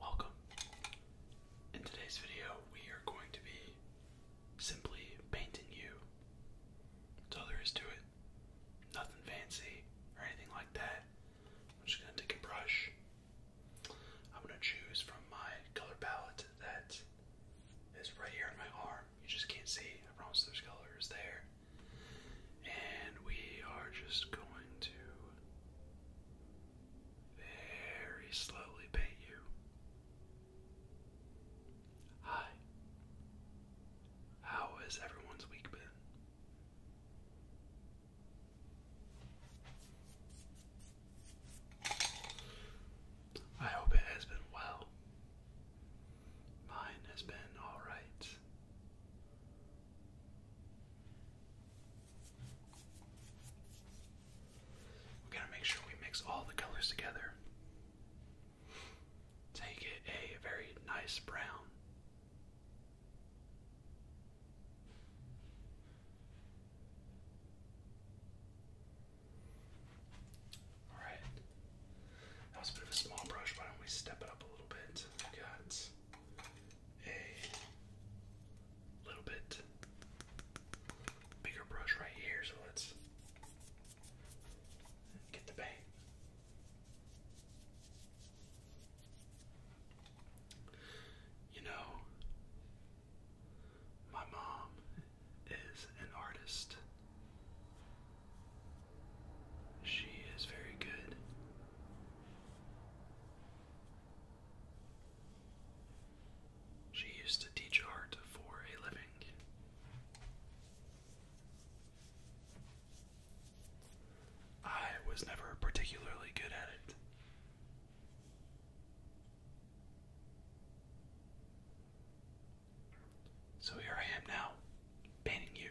Welcome. In today's video, we are going to be simply painting you. That's all there is to it. Nothing fancy or anything like that. I'm just going to take a brush. I'm going to choose from my color palette that is right here on my arm. You just can't see. I promise there's colors there. And we are just going to very slowly paint you. Hi. How has everyone's week been? I hope it has been well. Mine has been alright. We gotta make sure we mix all the colors together. Take it a very nice brown. All right, that was a bit of a small brush. Why don't we step it up a little bit? got a little bit bigger brush right here, so let's get the paint. You know, my mom is an artist. She is very good. She used to teach art for a living. I was never particularly good at it. So here I am now, painting you.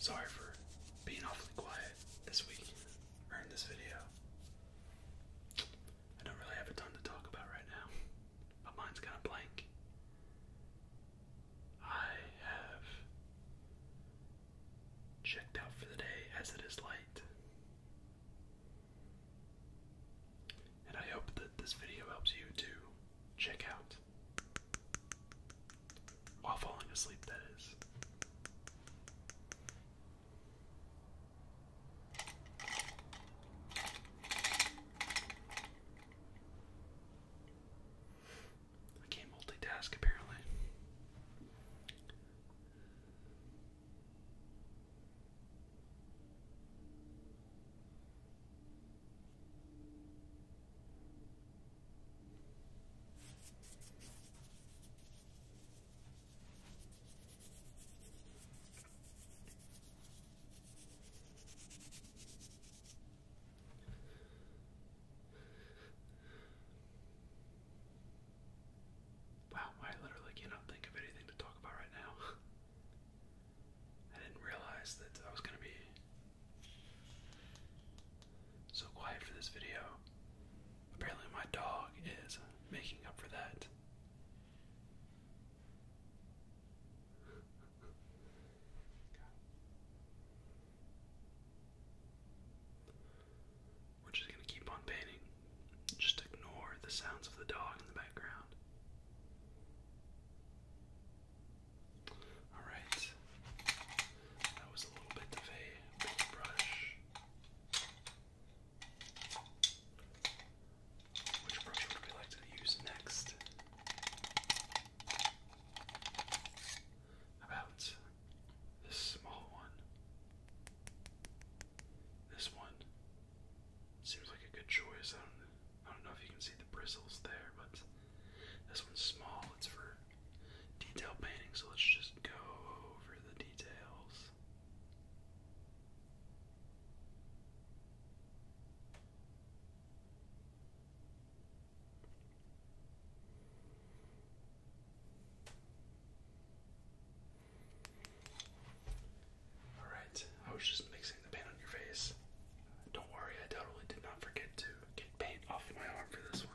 Sorry for being awfully quiet this week or in this video. I don't really have a ton to talk about right now but mine's kind of blank. I have checked out for the day as it is light. And I hope that this video helps you to check out while falling asleep, that is. I can't multitask apparently. Wow, I literally cannot think of anything to talk about right now. I didn't realize that I was going to be so quiet for this video. Apparently, my dog is making up for that we're just going to keep on painting. Just ignore the sounds of the dog in the background. Alright, that was a little bit of a brush. Which brush would we like to use next? About this small one. This one seems like a good choice. I don't, know if you can see the bristles there, but this one's small. It's for detail painting, so let's just go over the details. Alright, I was just mixing the paint on your face. Don't worry, I totally did not forget to get paint off my arm for this one.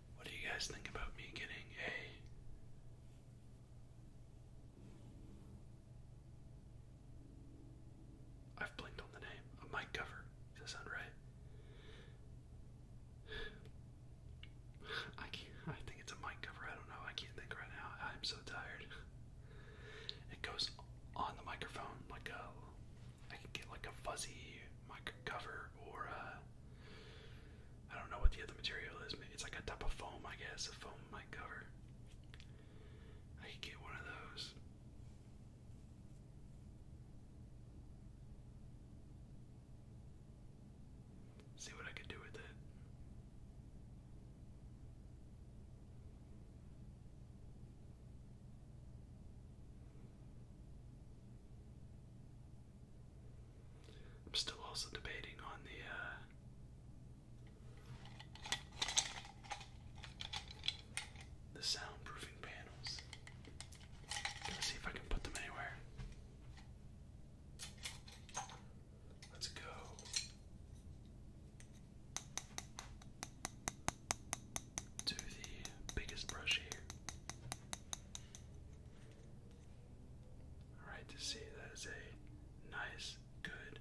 What do you guys think about me getting a I've blinked on the name. A mic cover. Does that sound right? I can't I think it's a mic cover. I don't know. I can't think right now. I'm so tired. It goes on the microphone like a I can get like a fuzzy mica cover or a, uh, I don't know what the other material is. Maybe It's like a type of foam, I guess, a foam mic cover. I could get one of those. See what I could do with it. I'm still also debating on the uh the soundproofing panels. Let's see if I can put them anywhere. Let's go to the biggest brush here. Alright, to see that is a nice, good,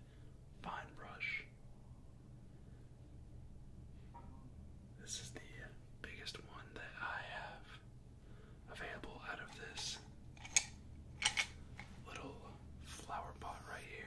fine brush. This is the biggest one that I have available out of this little flower pot right here.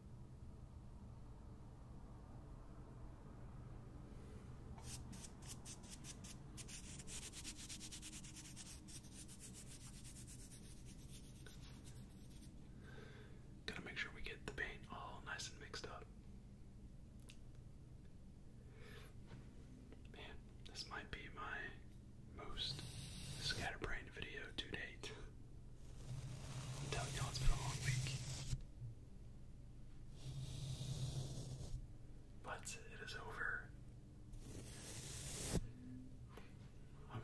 Gotta make sure we get the paint all nice and mixed up. Man, this might be my most scatterbrained video to date. I'm telling y'all, it's been a long week. But it is over. I'm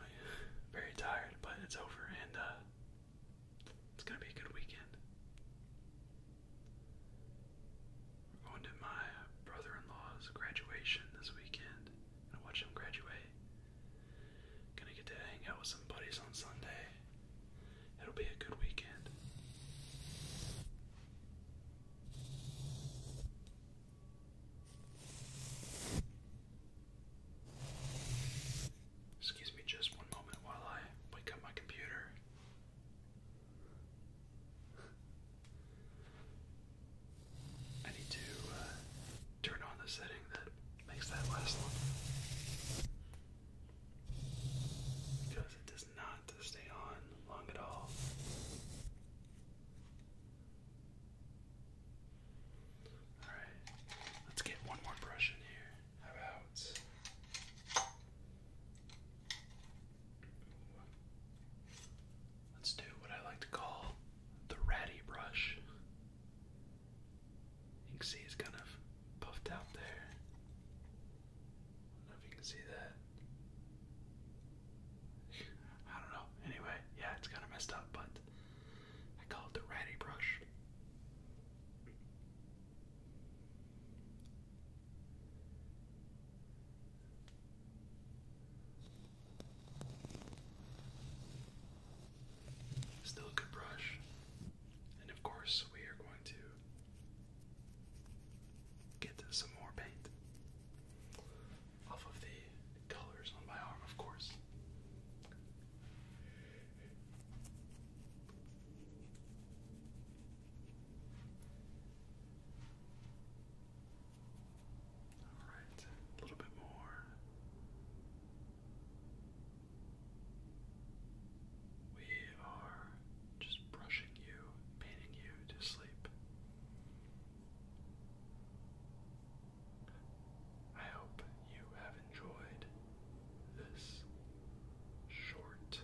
very tired, but it's over, and uh, it's gonna be a good weekend. We're going to my brother in law's graduation this weekend, and watch him graduate. Gonna get to hang out with some buddies on Sunday. It'll be a good weekend. Excuse me just one moment while I wake up my computer. I need to uh, turn on the setting that makes that last longer. Because it does not stay on long at all. Alright, let's get one more brush in here. How about. Let's do what I like to call the ratty brush. You can see it's kind of puffed out there. I don't know if you can see that. I don't know. Anyway, yeah, it's kind of messed up, but I call it the ratty brush. Still a good brush. And of course, we are going to get some more paint off of the colors on my arm, of course. All right, a little bit more. We are just brushing you, painting you to sleep. I hope you have enjoyed this short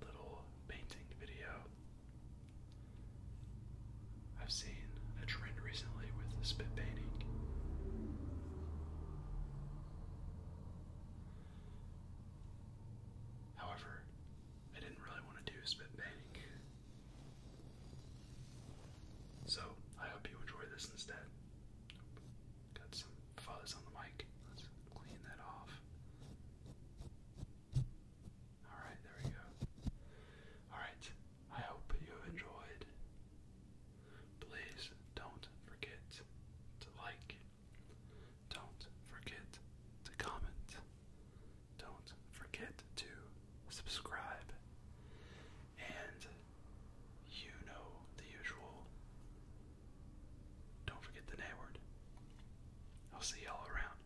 little painting video. I've seen a trend recently with spit painting. However, I didn't really want to do spit painting. So, I hope you enjoy this instead. Got some fuzz on the mic. Let's clean that off. Alright, there we go. Alright, I hope you have enjoyed. Please don't forget to like. Don't forget to comment. Don't forget to subscribe. And you know the usual. Don't forget the N word. I'll see y'all around.